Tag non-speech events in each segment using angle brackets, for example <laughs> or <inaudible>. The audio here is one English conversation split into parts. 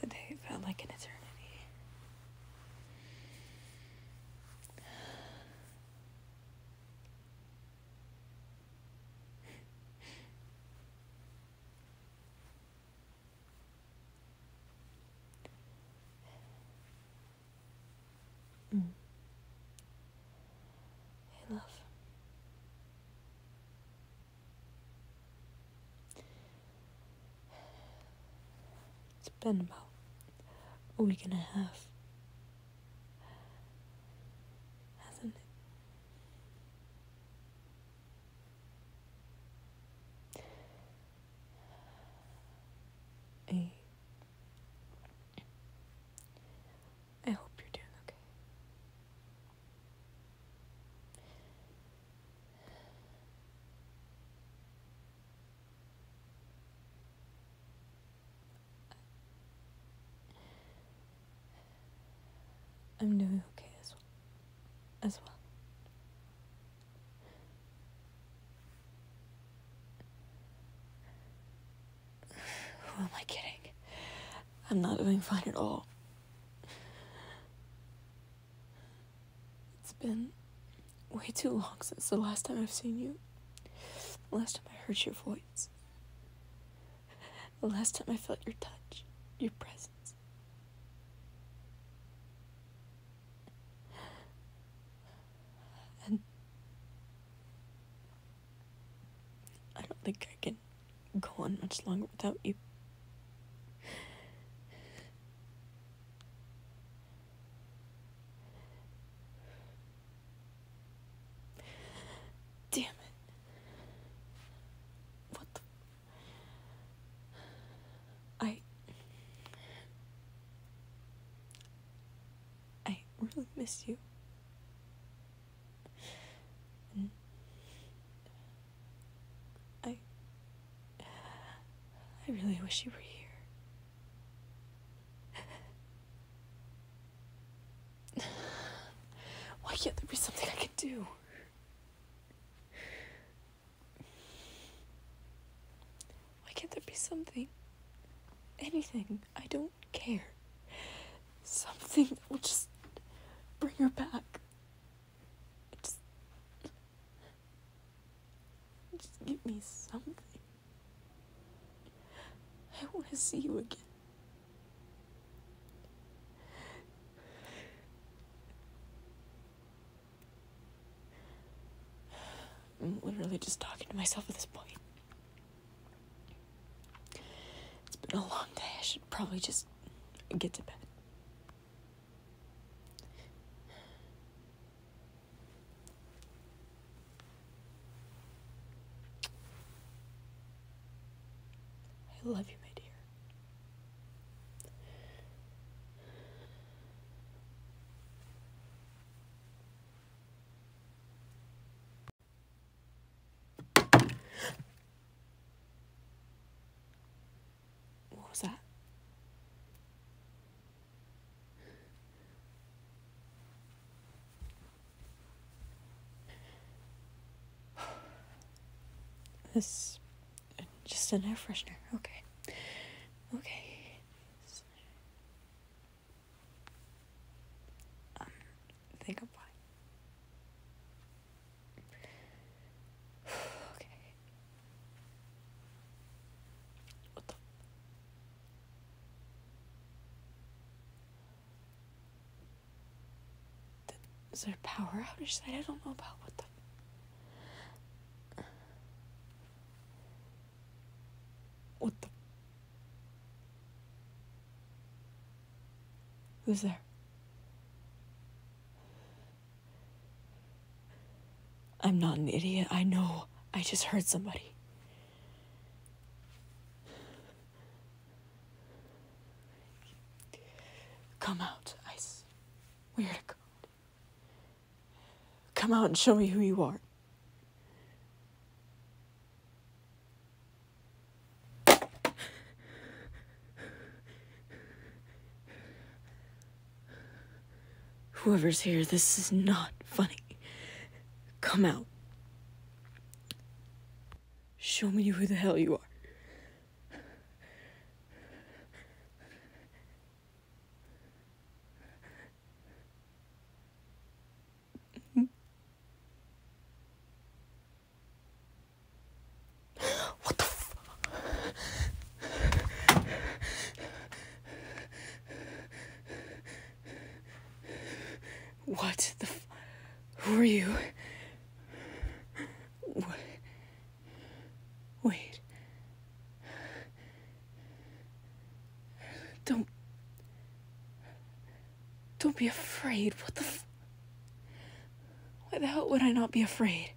Today felt like an eternity. Mm. It's been about a week and a half, hasn't it? I I hope you're doing okay. I'm doing okay as well. As well. Who am I kidding? I'm not doing fine at all. It's been way too long since the last time I've seen you. The last time I heard your voice. The last time I felt your touch, your presence. And I don't think I can go on much longer without you. Damn it. What I I really miss you. I I really wish you were here. Why can't there be something I can do? Why can't there be something? Anything. I don't care. Something that will just bring her back. Just, give me something. I want to see you again. I'm literally just talking to myself at this point. It's been a long day. I should probably just get to bed. I love you, my dear. What was that? This just an air freshener. Okay. Okay else. Um, think of <sighs> okay. What the? is there power outage I don't know about? What the? What the? Who's there? I'm not an idiot. I know. I just heard somebody. Come out, Ice. Where to go? Come out and show me who you are. Whoever's here, this is not funny. Come out. Show me who the hell you are what the f- What the Who are you? What? Wait. Don't. Don't be afraid. What the f. Why the hell would I not be afraid?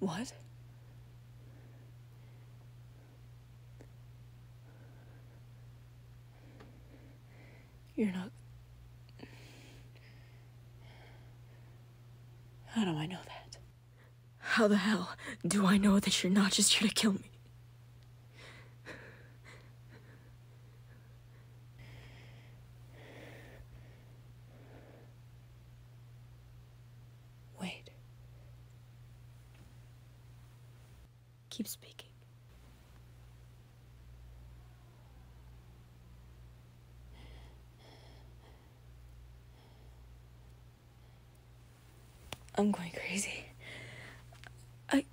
What? You're not. How do I know that? How the hell do I know that you're not just here to kill me? Wait. Keep speaking. I'm going crazy. I.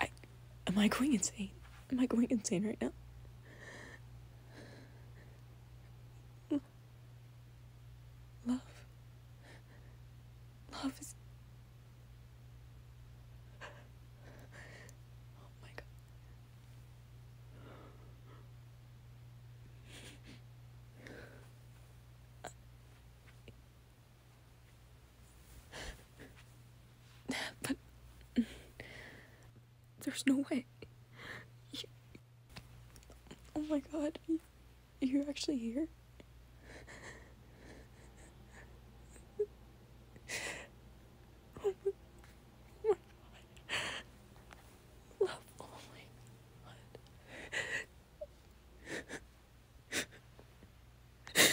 I. Am I going insane? Am I going insane right now? Love. Love is Oh <laughs> but <laughs> there's no way. <laughs> oh my god. You're actually here? oh my god. Love, oh my god.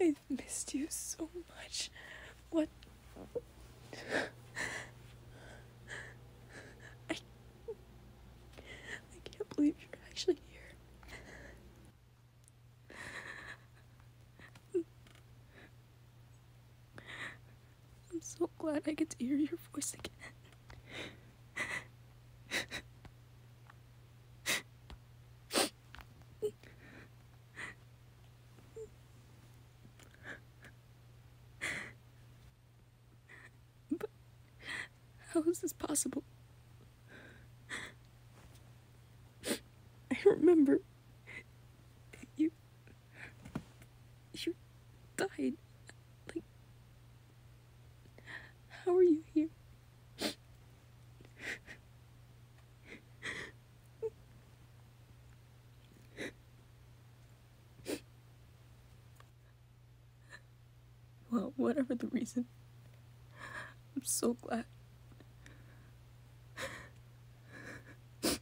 I've missed you so much. What? I I can't believe you're actually here. I'm so glad I get to hear your voice again. But how is this possible? I remember you you died. Like how are you here? well, whatever the reason, I'm so glad. I'm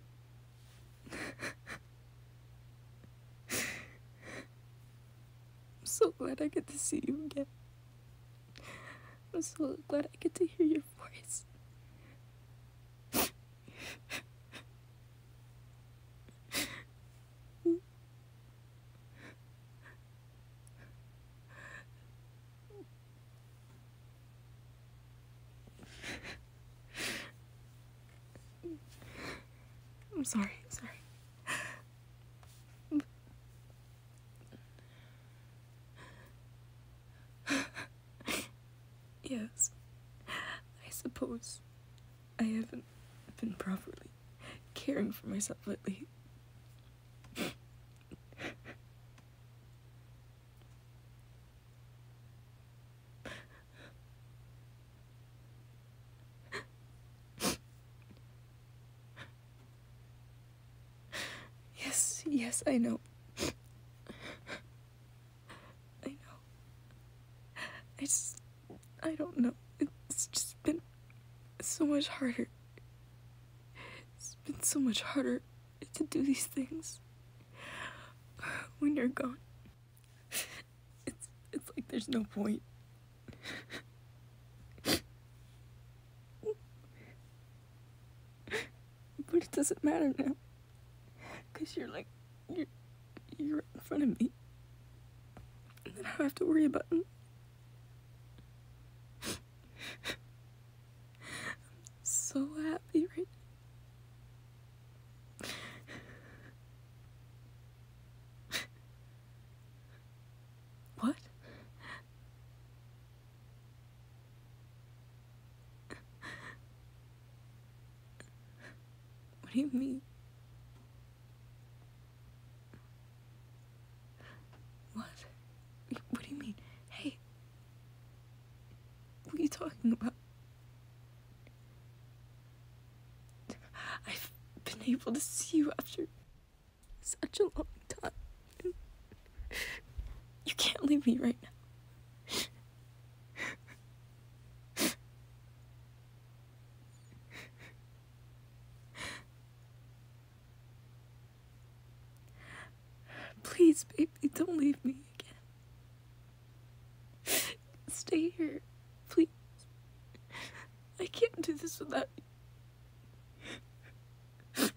so glad I get to see you again. I'm so glad I get to hear your voice. I'm sorry, I'm sorry. <laughs> yes, I suppose I haven't been properly caring for myself lately. <laughs> yes, yes, I know. I know. I just. I don't know. It's just been so much harder. It's been so much harder to do these things <sighs> when you're gone. It's, it's like there's no point. But it doesn't matter now. Because you're like, you're, you're in front of me. And I don't have to worry about it. I'm so happy right now. what? What do you mean? What? What do you mean? Hey, what are you talking about? I've been able to see you after such a long time. You can't leave me right now. Please, baby, don't leave me again. Stay here, please. I can't do this without you.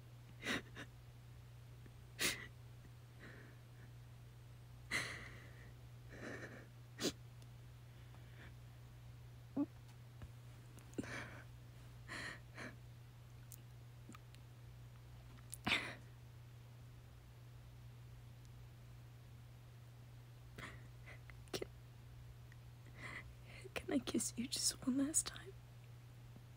Can I kiss you just one last time?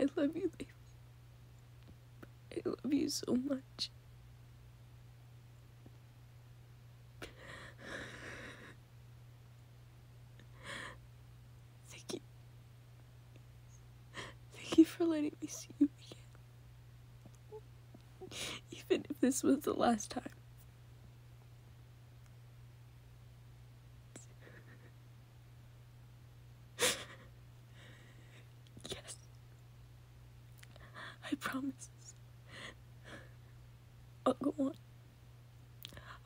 I love you, baby. I love you so much. Thank you. Thank you for letting me see you again. Even if this was the last time. <laughs> yes. I promise. I'll go on.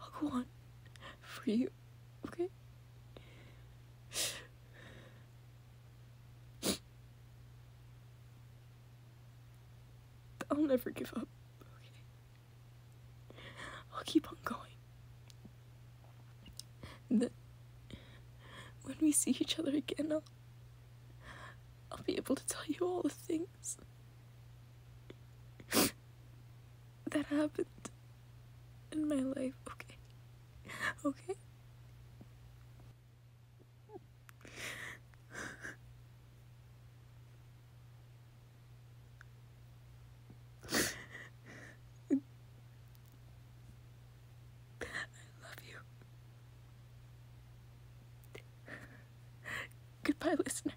I'll go on for you, okay? I'll never give up, okay? I'll keep on going. And then, when we see each other again, I'll, I'll be able to tell you all the things that happened in my life, okay? Okay? I love you. Goodbye, listener.